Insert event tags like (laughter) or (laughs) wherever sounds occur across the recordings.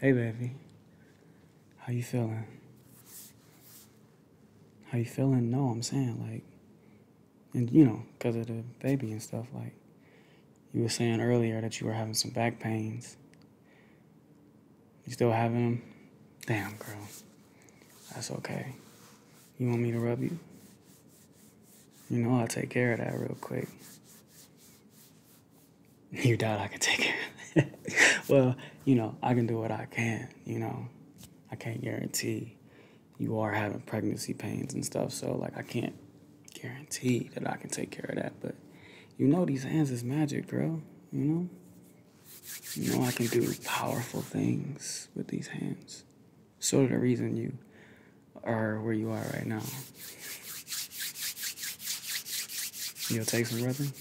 Hey baby. How you feeling? How you feeling? No, I'm saying like and you know, because of the baby and stuff, like you were saying earlier that you were having some back pains. You still having them? Damn, girl. That's okay. You want me to rub you? You know, I'll take care of that real quick. You doubt I can take care it. (laughs) well, you know, I can do what I can, you know. I can't guarantee you are having pregnancy pains and stuff, so like I can't guarantee that I can take care of that, but you know these hands is magic, bro, you know? You know I can do powerful things with these hands. So the reason you or where you are right now. You'll take some rubbing.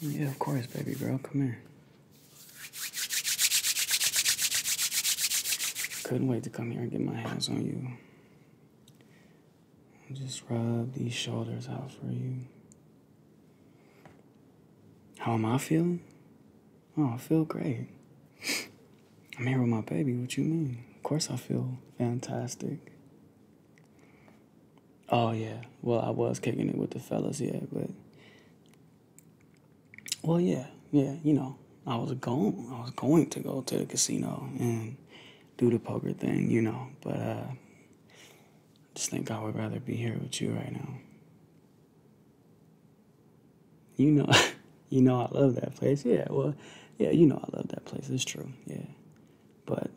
Yeah, of course, baby girl. Come here. Couldn't wait to come here and get my hands on you. Just rub these shoulders out for you. How am I feeling? Oh, I feel great. (laughs) I'm here with my baby. What you mean? Of course, I feel fantastic. Oh, yeah. Well, I was kicking it with the fellas, yeah, but. Well, yeah, yeah, you know, I was going, I was going to go to the casino and do the poker thing, you know, but uh, just think I would rather be here with you right now. You know, (laughs) You know I love that place. Yeah, well, yeah, you know I love that place. It's true. Yeah. But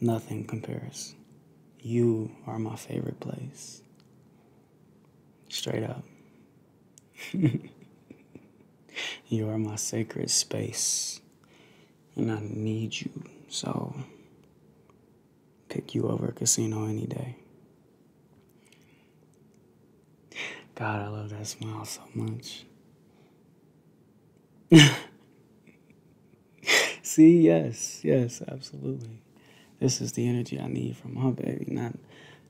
nothing compares. You are my favorite place. Straight up. (laughs) you are my sacred space. And I need you. So pick you over a casino any day. God, I love that smile so much. (laughs) See, yes, yes, absolutely. This is the energy I need from my baby, not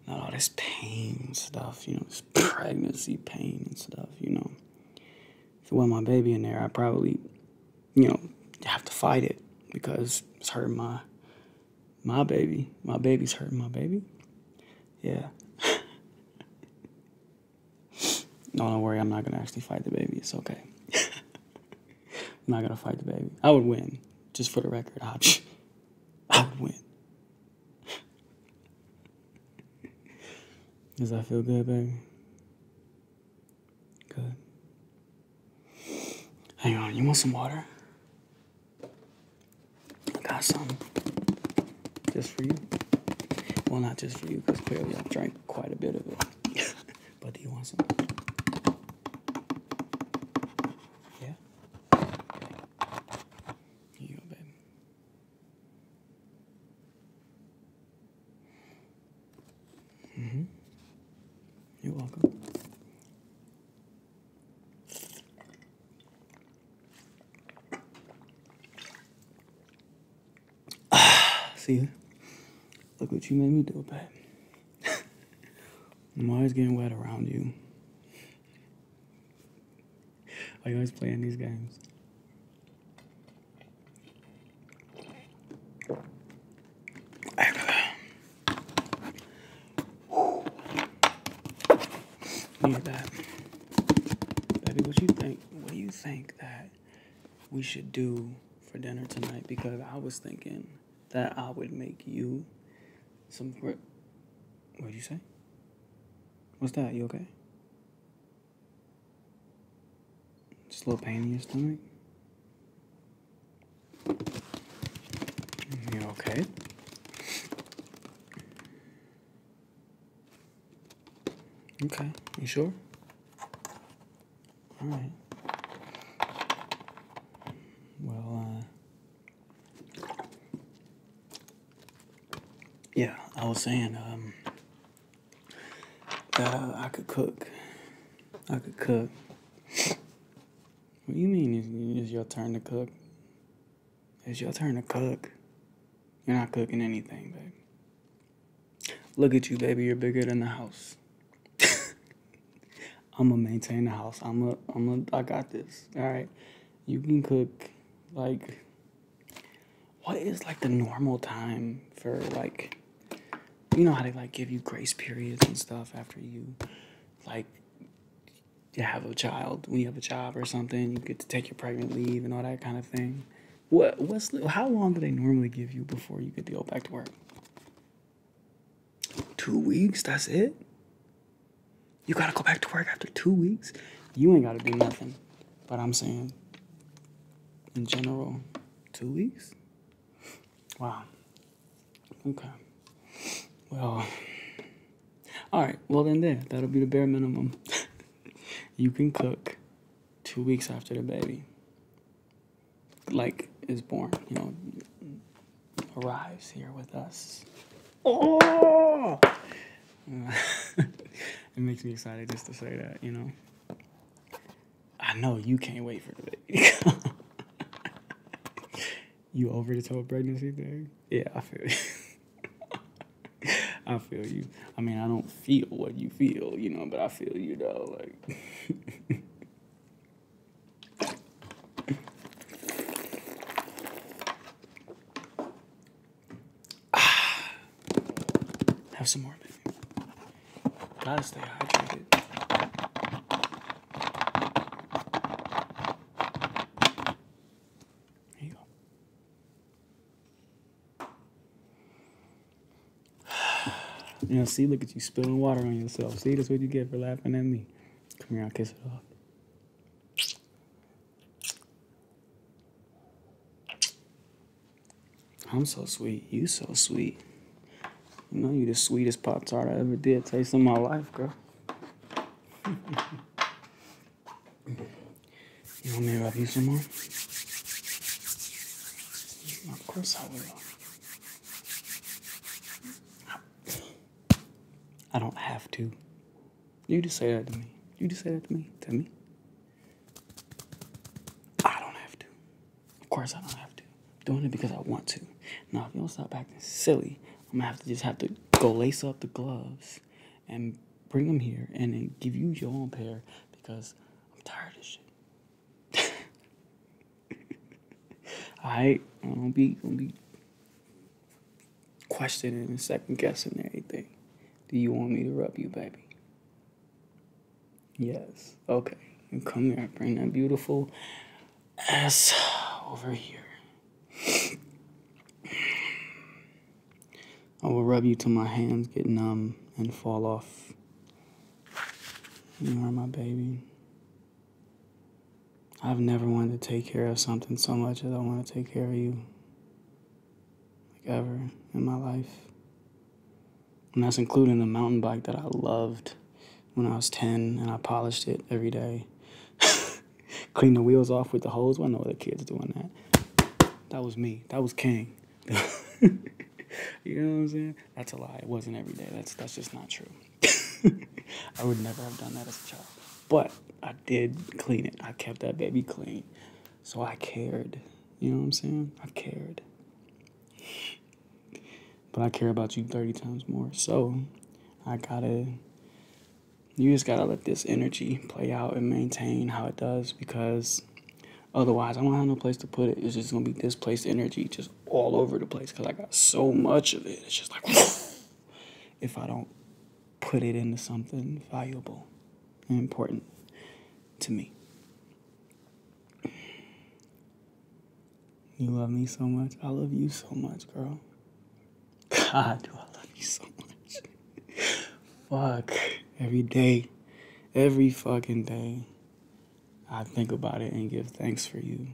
not all this pain stuff, you know, this pregnancy pain and stuff, you know. If it wasn't my baby in there, I probably, you know, have to fight it because it's hurting my my baby. My baby's hurting my baby. Yeah. (laughs) (laughs) don't worry. I'm not gonna actually fight the baby. It's okay. I'm not gonna fight the baby. I would win, just for the record. I would, (laughs) win. Does that feel good, baby? Good. Hang on. You want some water? I got some just for you. Well, not just for you, because clearly i drank quite a bit of it. (laughs) but do you want some? Yeah? Here you go, babe. Mm hmm You're welcome. (sighs) See, look what you made me do, babe. I'm always (laughs) getting wet around you. Are you always playing these games? that. Baby, what you think? What do you think that we should do for dinner tonight? Because I was thinking that I would make you some. What did you say? What's that? You okay? Just a little pain in your stomach. You okay? Okay, you sure? All right. Well, uh, yeah, I was saying um, uh, I, could cook. I could cook. What do you mean Is it's your turn to cook? It's your turn to cook. You're not cooking anything, baby. Look at you, baby. You're bigger than the house. (laughs) I'ma maintain the house. i am I'ma I got this. Alright. You can cook like what is like the normal time for like you know how they like give you grace periods and stuff after you like you have a child, when you have a child or something, you get to take your pregnant leave and all that kind of thing. What what's how long do they normally give you before you get to go back to work? Two weeks, that's it? You gotta go back to work after two weeks? You ain't gotta do nothing. But I'm saying in general, two weeks? Wow. Okay. Well, all right, well, then, there, that'll be the bare minimum. (laughs) you can cook two weeks after the baby, like, is born, you know, arrives here with us. Oh! (laughs) it makes me excited just to say that, you know. I know you can't wait for the baby. (laughs) you over the whole pregnancy thing? yeah, I feel you. (laughs) I feel you. I mean, I don't feel what you feel, you know, but I feel you though. Like. (sighs) Have some more, baby. Gotta stay hydrated. There (sighs) You know, see, look at you spilling water on yourself. See, that's what you get for laughing at me. Come here, I'll kiss it off. I'm so sweet. You so sweet. You know, you the sweetest Pop Tart I ever did taste in my life, girl. (laughs) You want me to rub you some more? Of course I will. I don't have to. You just say that to me. You just say that to me. To me. I don't have to. Of course I don't have to. doing it because I want to. Now if you don't stop acting silly, I'm gonna have to just have to go lace up the gloves and bring them here and then give you your own pair because I'm tired of shit. Alright, (laughs) I don't be gonna be questioning and second guessing everything. Do you want me to rub you, baby? Yes. Okay. come here, bring that beautiful ass over here. I will rub you till my hands get numb and fall off. You are my baby. I've never wanted to take care of something so much as I want to take care of you. Like ever in my life. And that's including the mountain bike that I loved when I was 10 and I polished it every day. (laughs) Clean the wheels off with the hose. Well, I know other kids doing that. That was me. That was King. (laughs) you know what I'm saying? That's a lie. It wasn't every day. That's that's just not true. (laughs) I would never have done that as a child. But I did clean it. I kept that baby clean. So I cared. You know what I'm saying? I cared. But I care about you 30 times more. So I gotta you just gotta let this energy play out and maintain how it does because otherwise I will not have no place to put it. It's just gonna be displaced energy just all over the place because I got so much of it. It's just like (laughs) if I don't put it into something valuable and important to me. You love me so much. I love you so much, girl. God, do I love you so much. Fuck. Every day, every fucking day, I think about it and give thanks for you.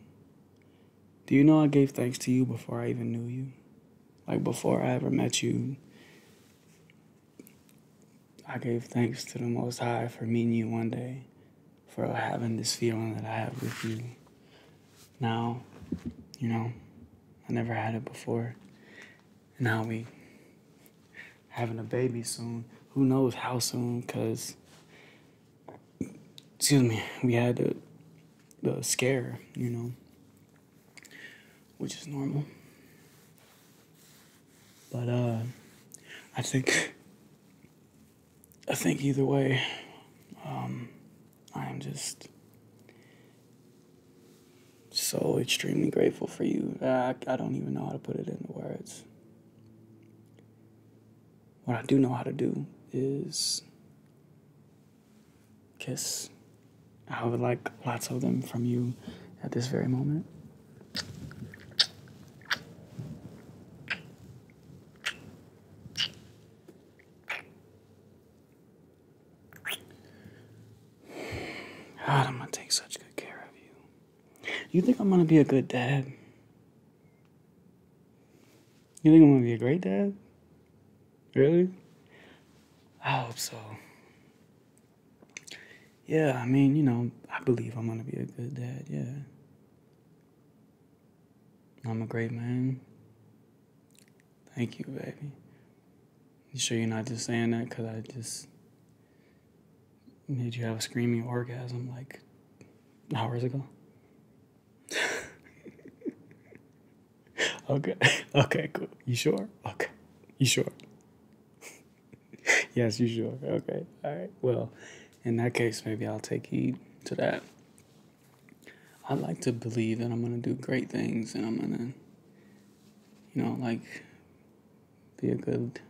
Do you know I gave thanks to you before I even knew you? Like before I ever met you, I gave thanks to the Most High for meeting you one day, for having this feeling that I have with you. Now, you know, I never had it before. Now we having a baby soon. Who knows how soon? Cause excuse me, we had the the scare, you know, which is normal. But uh, I think I think either way, um, I'm just so extremely grateful for you. I, I don't even know how to put it into words. What I do know how to do is kiss. I would like lots of them from you at this very moment. God, I'm gonna take such good care of you. You think I'm gonna be a good dad? You think I'm gonna be a great dad? Really? I hope so. Yeah, I mean, you know, I believe I'm gonna be a good dad, yeah. I'm a great man. Thank you, baby. sure you're not just saying that because I just made you have a screaming orgasm like hours ago? (laughs) okay. Okay, cool. You sure? Okay. You sure? (laughs) yes, you sure. Okay. All right. Well, in that case, maybe I'll take heed to that. I like to believe that I'm going to do great things and I'm going to, you know, like be a good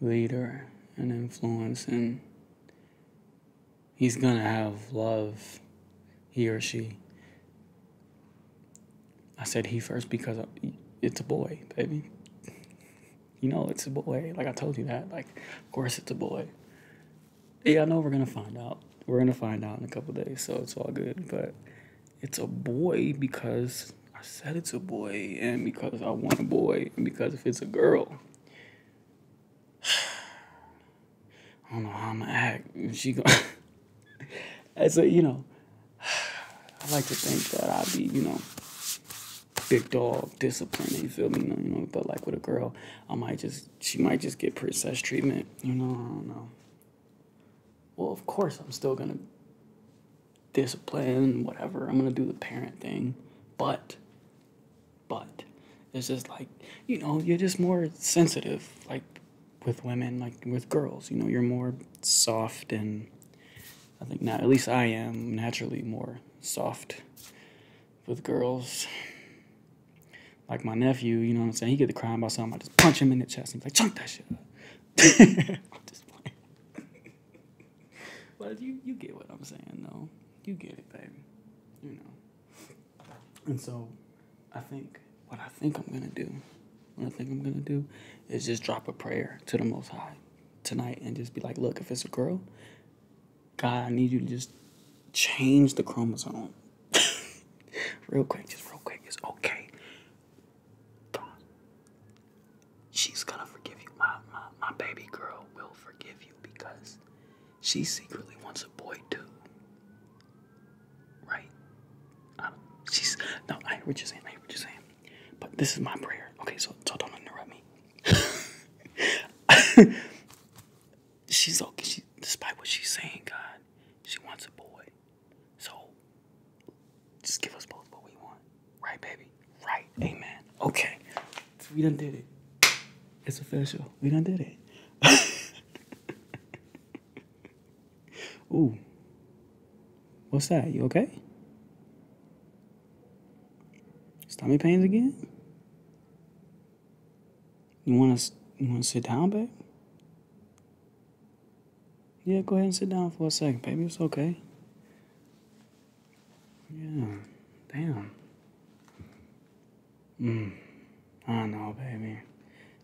leader and influence and he's going to have love, he or she. I said he first because it's a boy, baby. (laughs) You know, it's a boy. Like I told you that. Like, of course, it's a boy. Yeah, I know we're gonna find out. We're gonna find out in a couple days, so it's all good. But it's a boy because I said it's a boy, and because I want a boy, and because if it's a girl, (sighs) I don't know how I'm gonna act. And She gonna. As (laughs) a you know, (sighs) I like to think that I'd be you know big dog discipline you feel me you know but like with a girl i might just she might just get princess treatment you know i don't know well, of course, I'm still going to discipline, whatever. I'm going to do the parent thing. But, but, it's just like, you know, you're just more sensitive, like with women, like with girls. You know, you're more soft and I think not, at least I am naturally more soft with girls. Like my nephew, you know what I'm saying? He get to crying about something. I just punch him in the chest. And he's like, "Chump that shit up. (laughs) i you, you get what I'm saying, though. You get it, baby. You know. And so I think what I think I'm going to do, what I think I'm going to do is just drop a prayer to the Most High tonight and just be like, look, if it's a girl, God, I need you to just change the chromosome. (laughs) real quick, just real quick. It's okay. She's gonna forgive you. My, my, my baby girl will forgive you because she secretly wants a boy too. Right? I don't, she's no, I what you saying. I what you saying. But this is my prayer. Okay, so, so don't interrupt me. (laughs) she's okay. despite what she's saying, God, she wants a boy. So just give us both what we want, right, baby? Right, amen. Okay, so we done did it. It's official. We done did it. (laughs) Ooh, what's that? You okay? Stomach pains again? You want to you want to sit down, babe? Yeah, go ahead and sit down for a second, baby. It's okay. Yeah, damn. Mm, I know, baby.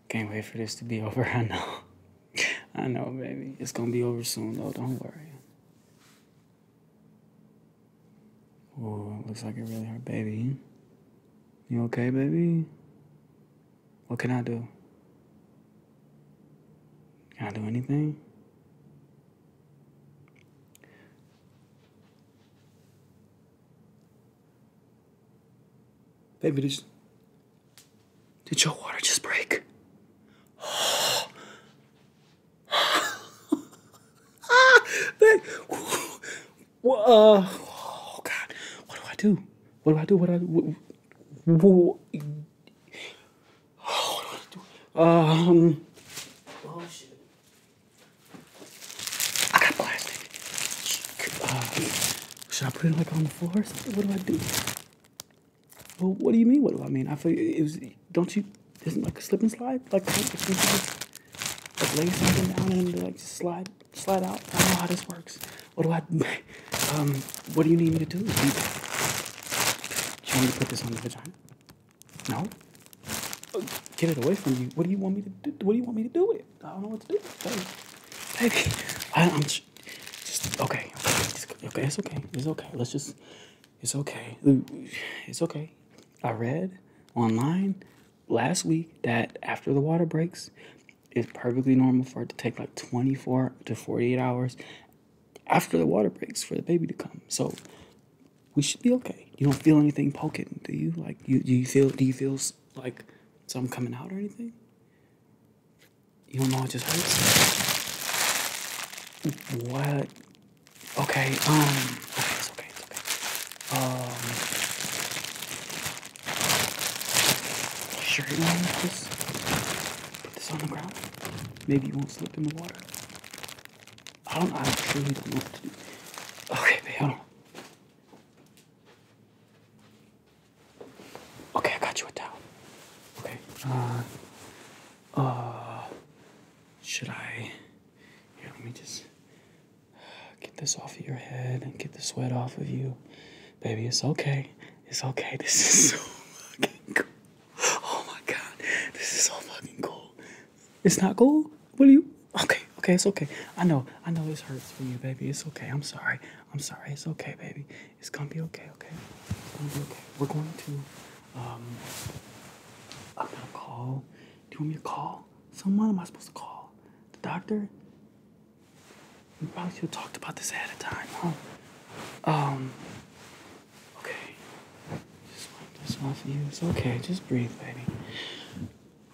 Can't wait for this to be (laughs) over. I know. I know, baby. It's gonna be over soon, though. Don't worry. Oh, looks like a really hard baby. You okay, baby? What can I do? Can I do anything? Baby, did, did your water just break? Oh. (laughs) ah, that, well, uh, oh God, what do I do? What do I do? What do I do? What, what, oh, what do I do? Um. Oh shit. I got plastic. Uh, should I put it like on the floor or something? What do I do? Well, what do you mean? What do I mean? I feel it was. Don't you? Isn't like a slip and slide? Like, like lay something down and like slide Slide out. I don't know how this works. What do I? Um, what do you need me to do? Do you, want me to put this on the vagina? No. get it away from you. What do you want me to do? What do you want me to do with it? I don't know what to do, baby. Baby, I, am just okay. okay, it's okay. It's okay. Let's just. It's okay. It's okay. I read online last week that after the water breaks, it's perfectly normal for it to take like 24 to 48 hours after the water breaks for the baby to come. So we should be okay. You don't feel anything poking, do you? Like you do you feel do you feel like something coming out or anything? You don't know it just hurts. What? Okay. Um. Okay. okay. okay. Um. Sure you want to just put this on the ground? Maybe you won't slip in the water. I don't know, I truly don't know what to do. Okay, babe, hold on. Okay, I got you a towel. Okay, uh, uh, should I, Yeah. let me just, Get this off of your head and get the sweat off of you. Baby, it's okay. It's okay. This is so fucking cool. Oh my god. This is so fucking cool. It's not cool? Will you? Okay, okay, it's okay. I know, I know this hurts for you, baby. It's okay. I'm sorry. I'm sorry. It's okay, baby. It's gonna be okay, okay? It's gonna be okay. We're going to, um, I'm gonna call. Do you want me to call someone? Am I supposed to call the doctor? We probably should have talked about this ahead of time, huh? Um, okay. Just wipe this off of you. It's okay. Just breathe, baby.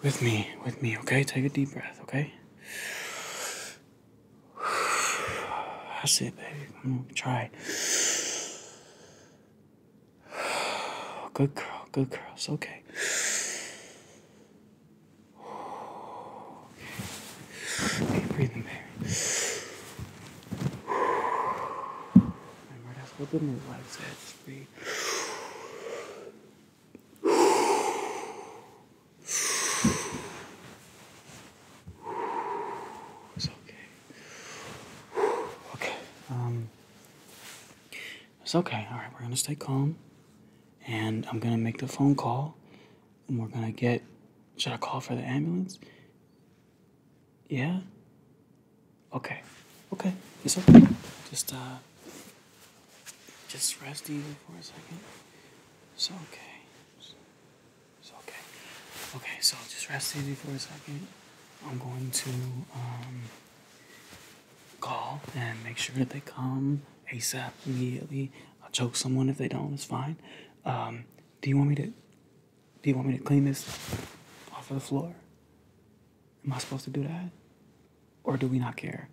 With me. With me, okay? Take a deep breath, okay? I it, baby. try. Good girl. Good girl. It's okay. Deep breathing there. Remember, that's Breathe. It's okay. Okay. Um. It's okay. All right. We're gonna stay calm and I'm gonna make the phone call and we're gonna get should I call for the ambulance? Yeah? Okay. Okay. It's okay. Just uh just rest easy for a second. It's okay. It's okay. Okay, so just rest easy for a second. I'm going to um call and make sure that they come ASAP, immediately. I'll choke someone if they don't. It's fine. Um, do you want me to? Do you want me to clean this off of the floor? Am I supposed to do that, or do we not care?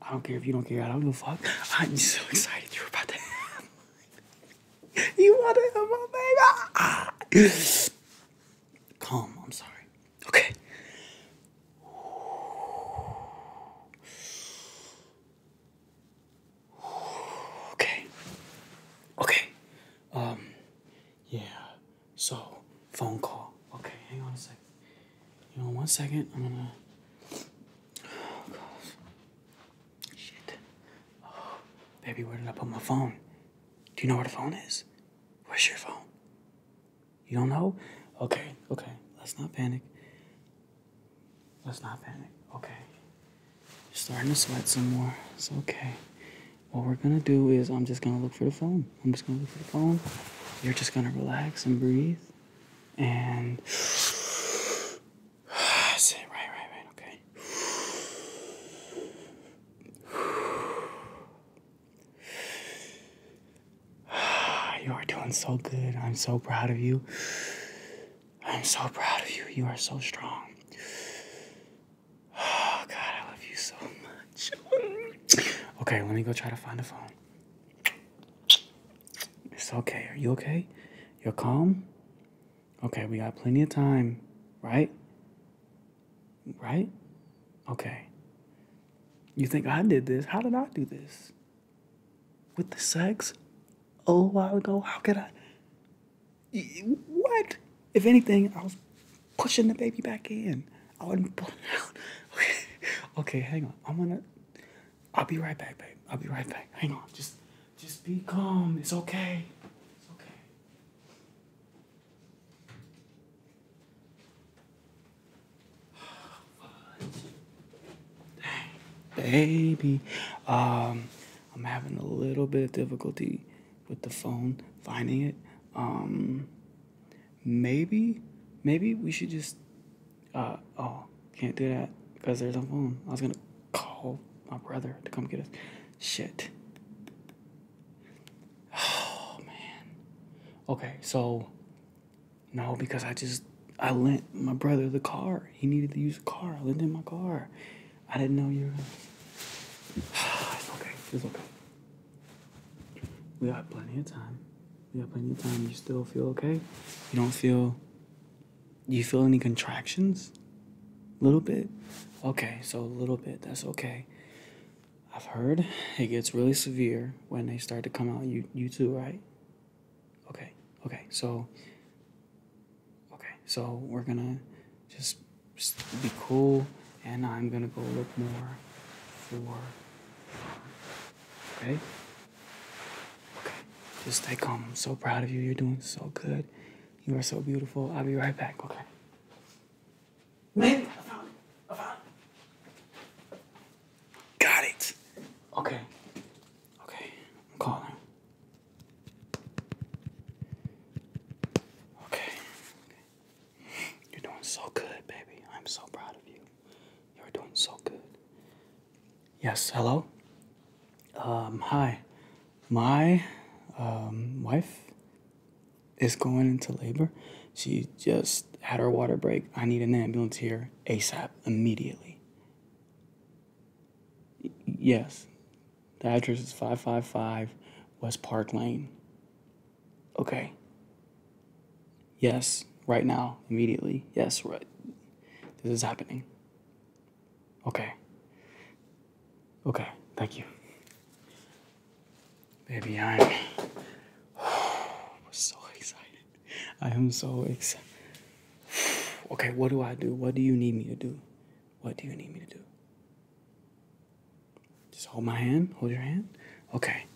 I don't care if you don't care. I don't give a fuck. (laughs) I'm so excited you about to (laughs) You want to have my baby? Ah! Calm. I'm sorry. Okay. Okay. Okay. Um, yeah. So, phone call. Okay, hang on a second. You know, one second, I'm gonna. Oh, Shit. Oh, baby, where did I put my phone? Do you know where the phone is? Where's your phone? You don't know? Okay, okay. Let's not panic. Let's not panic. Okay. You're starting to sweat some more. It's okay. What we're gonna do is I'm just gonna look for the phone. I'm just gonna look for the phone. You're just gonna relax and breathe. And (sighs) right, right, right, okay. (sighs) You are doing so good. I'm so proud of you. I'm so proud of you. You are so strong. (sighs) Oh, God, I love you so much. (laughs) okay, let me go try to find the phone. It's okay. Are you okay? You're calm? Okay, we got plenty of time, right? Right? Okay. You think I did this? How did I do this? With the sex? A little while ago? How could I? What? If anything, I was pushing the baby back in. I wasn't pulling (laughs) out. Okay. okay, hang on. I'm gonna. I'll be right back, babe. I'll be right back. Hang on. Just, just be calm. It's okay. Baby, um, I'm having a little bit of difficulty with the phone finding it. Um, maybe, maybe we should just. Uh, oh, can't do that because there's no phone. I was gonna call my brother to come get us. Shit. Oh man. Okay, so no, because I just I lent my brother the car. He needed to use the car. I lent him my car. I didn't know you were (sighs) It's okay. It's okay. We got plenty of time. We got plenty of time. You still feel okay? You don't feel you feel any contractions? A little bit? Okay, so a little bit, that's okay. I've heard it gets really severe when they start to come out. You you too, right? Okay. Okay. So okay. So we're gonna just, be cool, and I'm gonna go look more for. Okay. Okay. Just like calm. I'm so proud of you. You're doing so good. You are so beautiful. I'll be right back. Okay. Maybe. I found it. I found it. Got it. Okay. Okay. I'm calling. Okay. You're doing so good, baby. I'm so proud of you. You're doing so good. Yes, hello? Um, hi. My um, wife is going into labor. She just had her water break. I need an ambulance here ASAP, immediately. yes, the address is 555 West Park Lane. Okay. Yes, right now, immediately. Yes, right. This is happening. Okay. Okay, thank you. Baby, I'm (sighs) so excited. I am so excited. (sighs) Okay, what do I do? What do you need me to do? What do you need me to do? Just hold my hand. Hold your hand. Okay.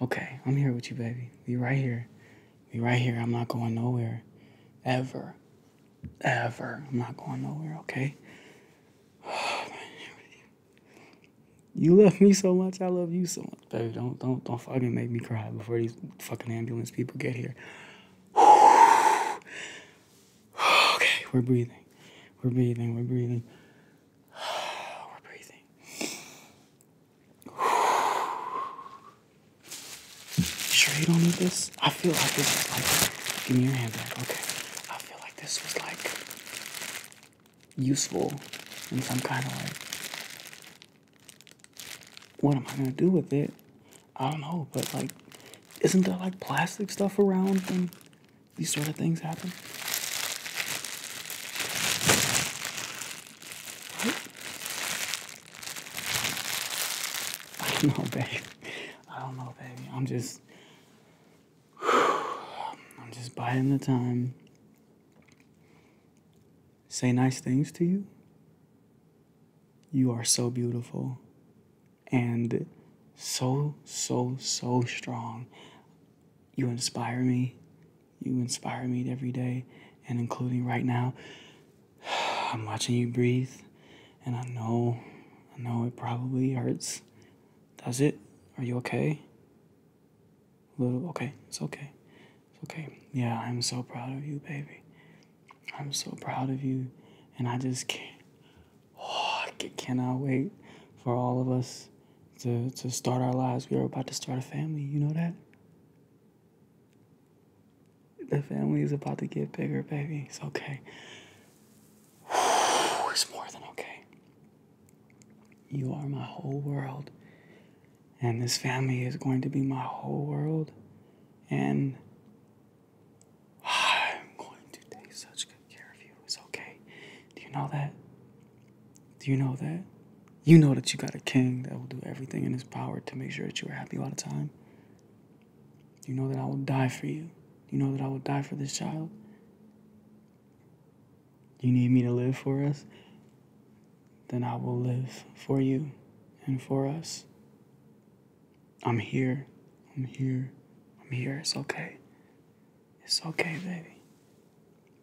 Okay. I'm here with you, baby. Be right here. Be right here. I'm not going nowhere. Ever. Ever. I'm not going nowhere, okay? (sighs) Oh, you love me so much, I love you so much, baby. Don't don't don't fucking make me cry before these fucking ambulance people get here. (sighs) okay, we're breathing. We're breathing, we're breathing. (sighs) we're breathing. sure you don't need this? I feel like this was like give me your hand okay. I feel like this was like useful in some kind of way. What am I gonna do with it? I don't know, but like, isn't there like plastic stuff around when these sort of things happen? (laughs) I don't know, baby. I don't know, baby. I'm just, (sighs) I'm just biding the time. Say nice things to you. You are so beautiful and so, so, so strong. You inspire me. You inspire me every day, and including right now. (sighs) I'm watching you breathe, and I know, I know it probably hurts. Does it? Are you okay? Little, okay, it's okay. It's okay. Yeah, I'm so proud of you, baby. I'm so proud of you. And I just can't. Oh, I cannot wait for all of us to, to start our lives. We are about to start a family. You know that? The family is about to get bigger, baby. It's okay. (sighs) It's more than okay. You are my whole world. And this family is going to be my whole world. And I'm going to take such good care of you. It's okay. Do you know that? Do you know that? You know that you got a king that will do everything in his power to make sure that you are happy all the time. You know that I will die for you. You know that I will die for this child. You need me to live for us? Then I will live for you and for us. I'm here. I'm here. I'm here. It's okay. It's okay, baby.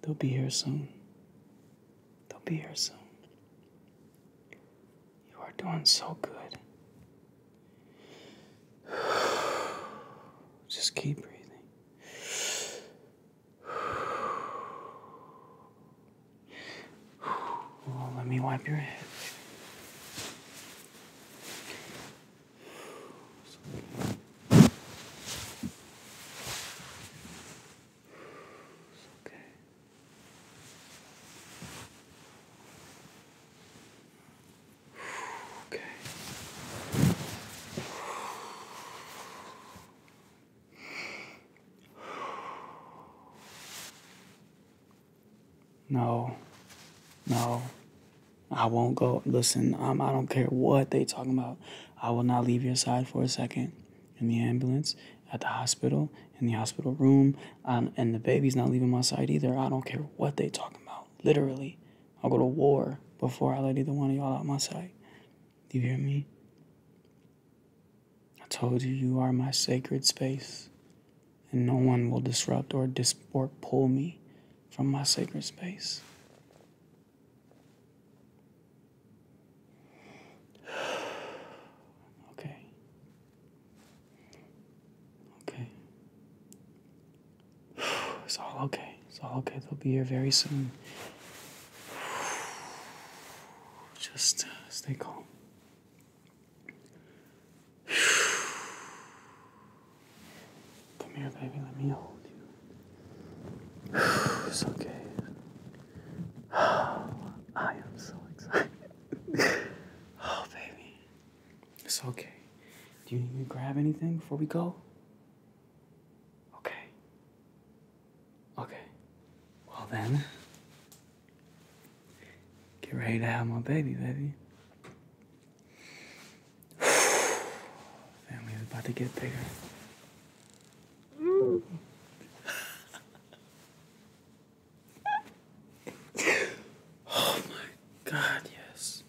They'll be here soon. They'll be here soon. You are doing so good. (sighs) Just keep breathing. Well, let me wipe your head. It's okay. Okay. No, no, I won't go. Listen, um, I don't care what they talking about. I will not leave your side for a second. In the ambulance, at the hospital, in the hospital room, um, and the baby's not leaving my side either. I don't care what they talking about. Literally, I'll go to war before I let either one of y'all out my sight. You hear me? I told you you are my sacred space, and no one will disrupt or dis pull me from my sacred space. (sighs) okay. Okay. (sighs) It's all okay. It's all okay. They'll be here very soon. (sighs) Just uh, stay calm. (sighs) Come here, baby. Let me hold you. It's okay. Oh, I am so excited. (laughs) oh, baby. It's okay. Do you need me to grab anything before we go? Okay. Okay. Well then, get ready to have my baby, baby. (sighs) is about to get bigger. (laughs) oh my god, yes.